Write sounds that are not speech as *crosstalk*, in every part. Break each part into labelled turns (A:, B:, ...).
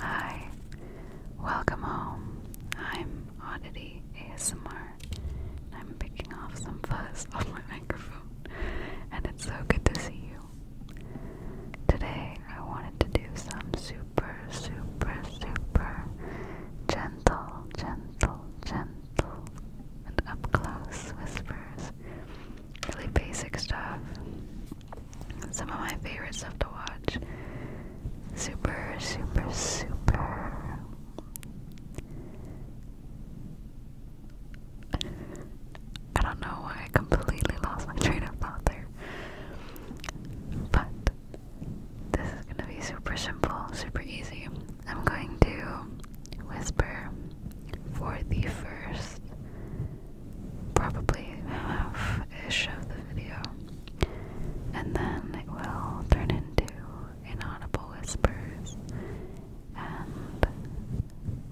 A: Hi, welcome home. I'm Oddity ASMR, I'm picking off some fuzz *laughs* on my microphone, and it's so good to see you. Today, I wanted to do some super, super, super gentle, gentle, gentle, and up close whispers really basic stuff. Some of my favorite stuff to watch. Super, super, super. I don't know why I completely lost my train of thought there. But this is gonna be super simple, super easy. I'm going to whisper for the first, probably half ish of the video, and then it will turn into inaudible whispers and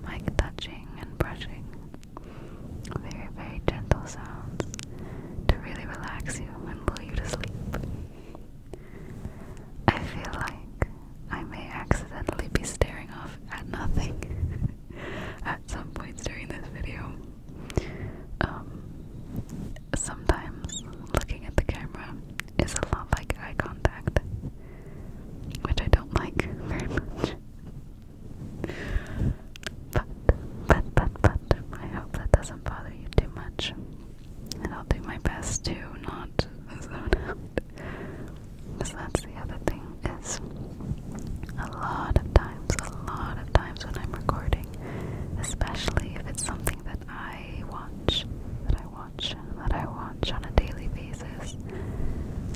A: mic touching and brushing. Very, very gentle sounds to really relax you and lull you to sleep. I feel like I may accidentally be staring off at nothing *laughs* at some points during this video. Um, sometimes looking at the camera is a lot like eye contact, which I don't like *laughs* very much. But, but, but, but, I hope that doesn't bother you too much. And I'll do my best to not *laughs* Because that's the other thing is a lot of times, a lot of times when I'm recording, especially if it's something that I watch, that I watch, that I watch on a daily basis,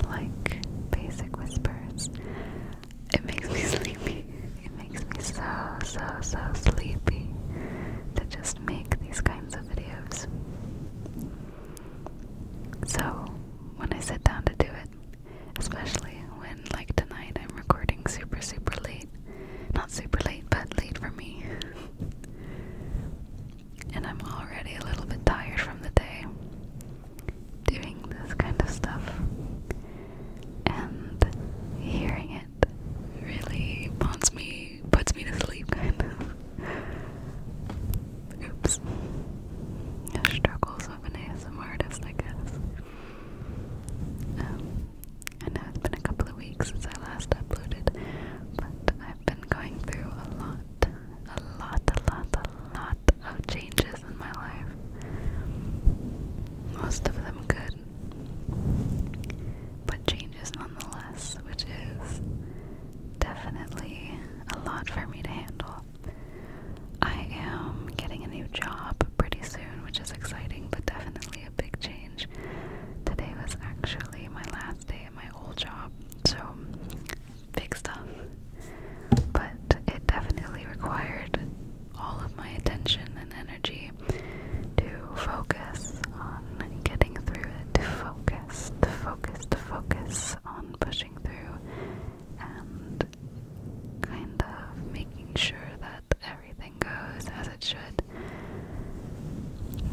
A: like Basic Whispers, it makes me *laughs* sleepy. It makes me so, so, so sleepy to just make these kinds of videos. So, when I sit down to do it, especially when, like tonight, I'm recording super, super late. Not super late, but late for me. and I'm already a little bit tired from the day doing this kind of stuff. And hearing it really bonds me me puts me to sleep kind of. Oops. struggles of an ASM artist, I guess. Um, it's been a couple of weeks since I last uploaded, but I've been going through a lot, a lot, a lot, a lot of changes in my life. Most of them good, but changes nonetheless, which is definitely a lot for me to handle. I am getting a new job pretty soon, which is exciting, but definitely a big change. Today was actually my last day at my old job, so big stuff. But it definitely required all of my attention and energy to focus on on getting through it, to focus, to focus on pushing through and kind of making sure that everything goes as it should.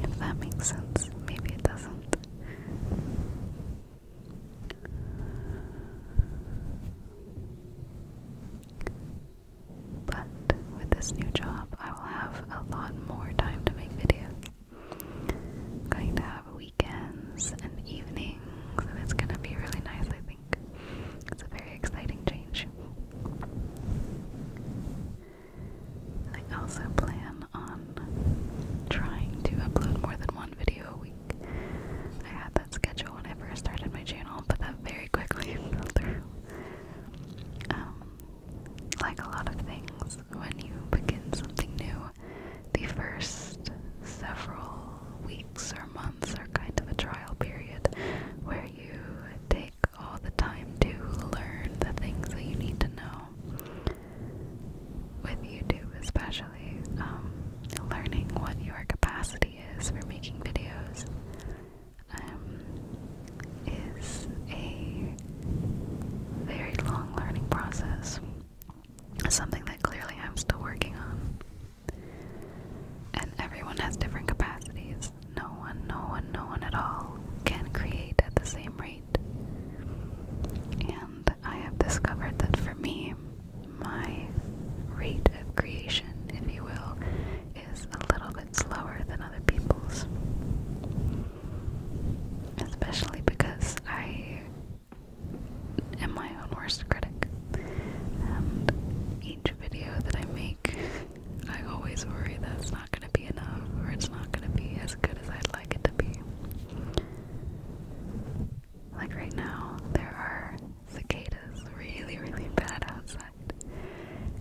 A: If that makes sense, maybe it doesn't. But with this new job, I will have a lot more time to make videos going to have weekends and evenings, and it's going to be really nice, I think. It's a very exciting change. I also plan on trying to upload more than one video a week. I had that schedule when I first started my channel, but that very quickly *laughs* fell through. Um, like a lot of things, when you begin something new, the first several weeks or months are kind of a trial period where you take all the time to learn the things that you need to know. What you do, especially, um, learning what your capacity is for making videos um, is a very long learning process. Something that clearly I'm still working on. And everyone has different capacities. No one, no one, no one at all can create at the same rate. And I have discovered that for me, my rate of creation, if you will, is a little bit slower than other people's. Especially because I am my own worst critic. And each video that I make, I always worry that it's not going to be enough or it's not going to be as good as I'd like it to be. Like right now, there are cicadas really, really bad outside.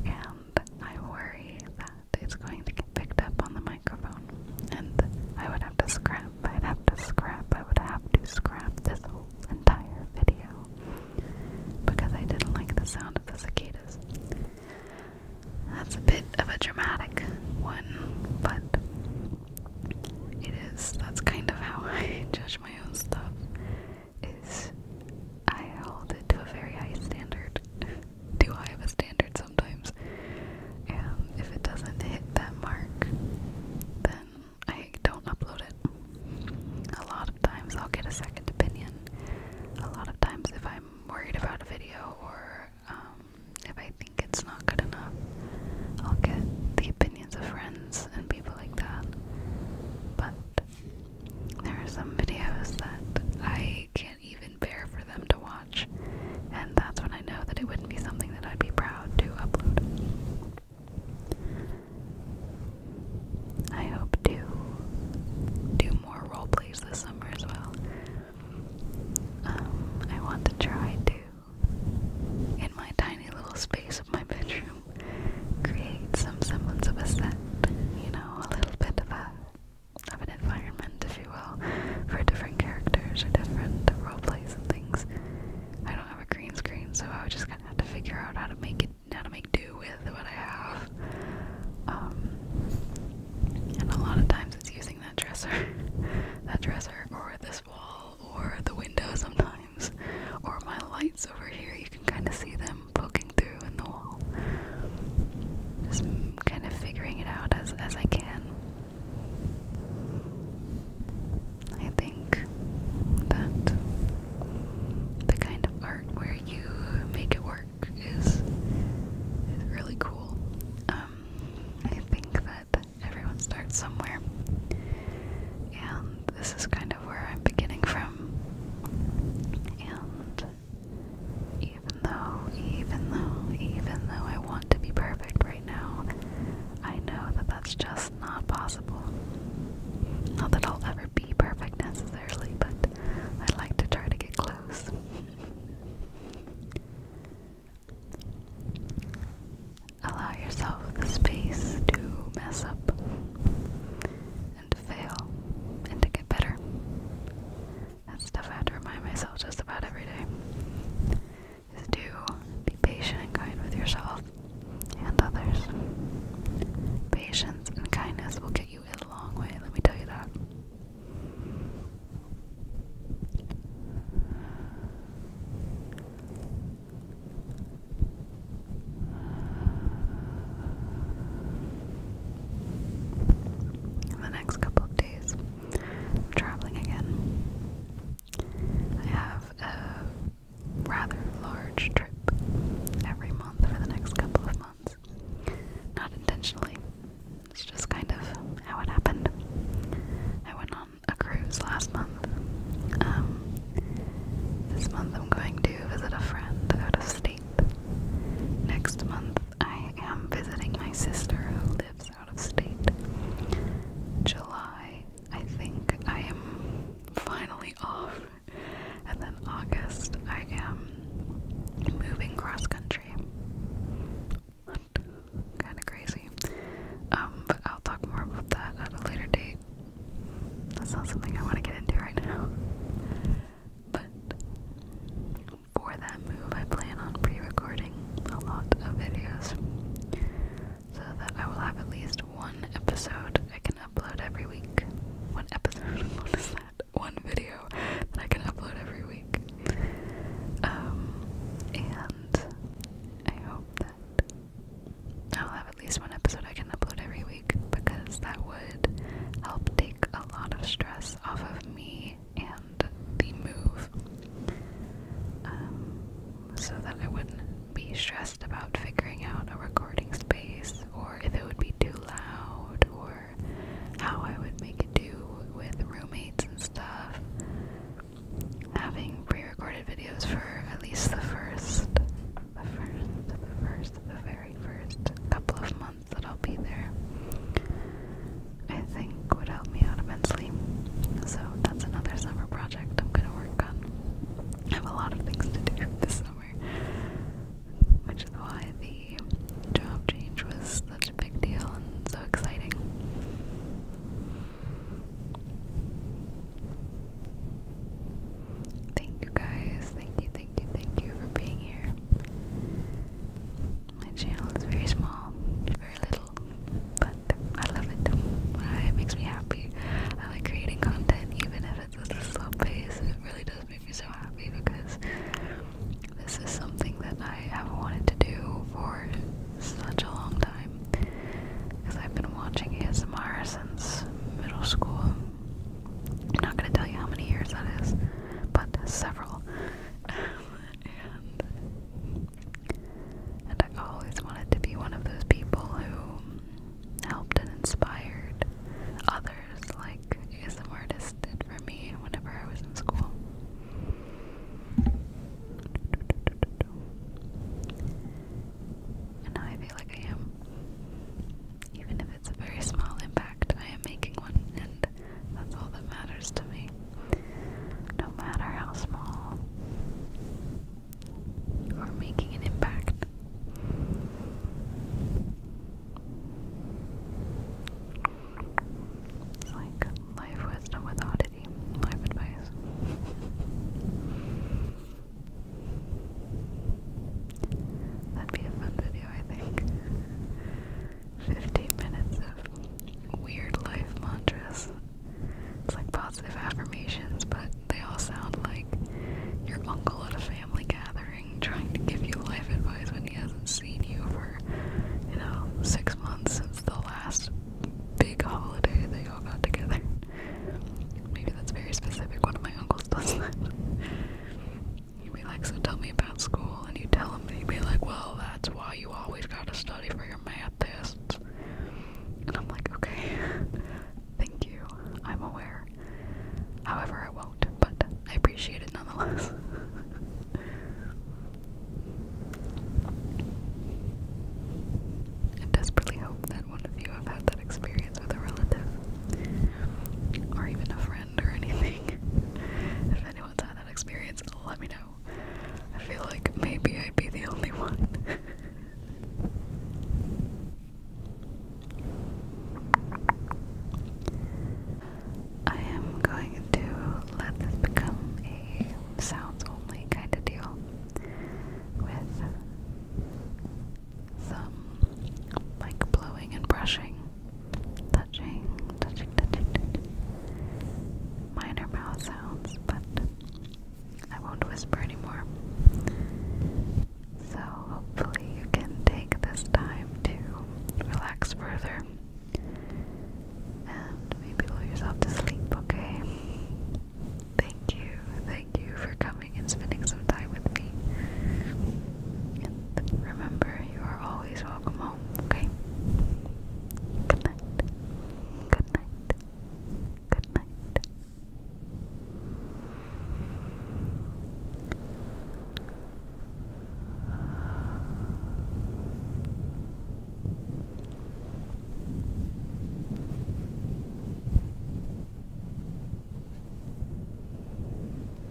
A: And I worry that it's going to get picked up on the microphone. And I would have to scrap, I'd have to scrap, I would have to scrap this whole entire video because I didn't like the sound of the cicadas. That's a bit of a dramatic one, but it is. That's kind of how *laughs* I judge my own stuff. Is I hold it to a very high standard. *laughs* Do I have a standard sometimes. And if it doesn't hit that mark, then I don't upload it. A lot of times I'll get a second opinion. A lot of times, if I'm worried about a video or um, if I think it's not good enough, I'll get the opinions of friends and people like that. But there are some videos that I can't even bear for them to watch. And that's when I know that it wouldn't be something that I'd be proud to upload. I hope to do more role plays this summer as well. Um, I want to try to, in my tiny little space of my bedroom, create some semblance of a set. You know, a little bit of a of an environment, if you will, for different characters or different roleplays and things. I don't have a green screen, so I would just kind of have to figure out how to make it, how to make do with what I have. Um, and a lot of times it's using that dresser, *laughs* that dresser, or this wall, or the window sometimes, or my lights over here. You can kind of see them poking through in the wall. Just kind of figuring it out as as I can. I think that the kind of art where you make it work is is really cool. Um, I think that everyone starts somewhere, and this is kind of where I'm beginning from. And even though, even though, even though I want to be perfect right now, I know that that's just not possible. Not that I'll ever be perfect necessarily, but I would like to try to get close. Allow yourself the space to mess up and to fail and to get better. That's stuff I have to remind myself just about every day. Is to be patient and kind with yourself and others. Patience and kindness will get you a long way, let me tell you that. In the next couple of days, I'm traveling again. I have a rather large trip every month for the next couple of months. Not intentionally, it's just kind of how it happened. I went on a cruise last month. Um, this month I'm going to visit a friend out of state. Next month I am visiting my sister who lives out of state. July, I think I am finally off. And then August, I am moving cross country. Kind of crazy. Um, but I'll talk more about that at a later date. That's not something I want to get into right now. But for that move, I plan on pre recording a lot of videos so that I will have at least one episode I can upload every week. One episode? *laughs* What is that? One video that I can upload every week. Um, and I hope that I'll have at least one episode I can upload every week because that would help take a lot of stress off of me and the move um, so that I wouldn't be stressed about figuring out a recording space or if it would be too loud or how I would make it do with roommates and stuff. Having pre-recorded videos for at least the first, the first, the first, the very first couple of months that I'll be there, I think would help me out immensely. So that's another summer project I'm gonna work on. I have a lot of things to do *laughs* this summer, which is why the job change was such a big deal and so exciting. Thank you guys, thank you, thank you, thank you for being here. My channel is very small, very little, but I love it. Uh, it makes me happy. I like creating content, even if it's a slow pace. It really does make me so happy because this is something that I have wanted to do for such a long time. Because I've been watching ASMR since middle school. I'm not gonna tell you how many years that is, but several. *laughs* and and I always wanted to be one of those people who helped and inspired others like ASM artists did for me whenever I was in school. And now I feel like I am. Even if it's a very small impact, I am making one, that's all that matters to me. No matter how small. Or making an impact. It's like life wisdom with oddity, life advice. That'd be a fun video, I think. 15 minutes of weird life mantras. It's like positive affirmations, but they all sound like your uncle at a family gathering trying to give you life advice when he hasn't seen you for, you know, six months since the last big holiday they all got together. Maybe that's very specific. One of my uncles does that. You'd be like, so tell me about school, and you tell him, and he'd be like, well, that's why you always gotta study for your math tests. And I'm like, okay, *laughs* thank you, I'm aware. However, I won't, but I appreciate it nonetheless. *laughs* I desperately hope that one of you have had that experience with a relative, or even a friend, or anything. *laughs* if anyone's had experience, let me know. I feel like maybe I'd be the only one. I am going to let this become a sounds only kind of deal with some mic blowing and brushing touching, touching, touching, Minor mouth sounds, but I won't whisper anymore. So hopefully you can take this time to relax further and maybe lull yourself to sleep, okay? Thank you, thank you for coming and spending some time with me. And remember, you are always welcome home, okay? Good night. Good night. Good night.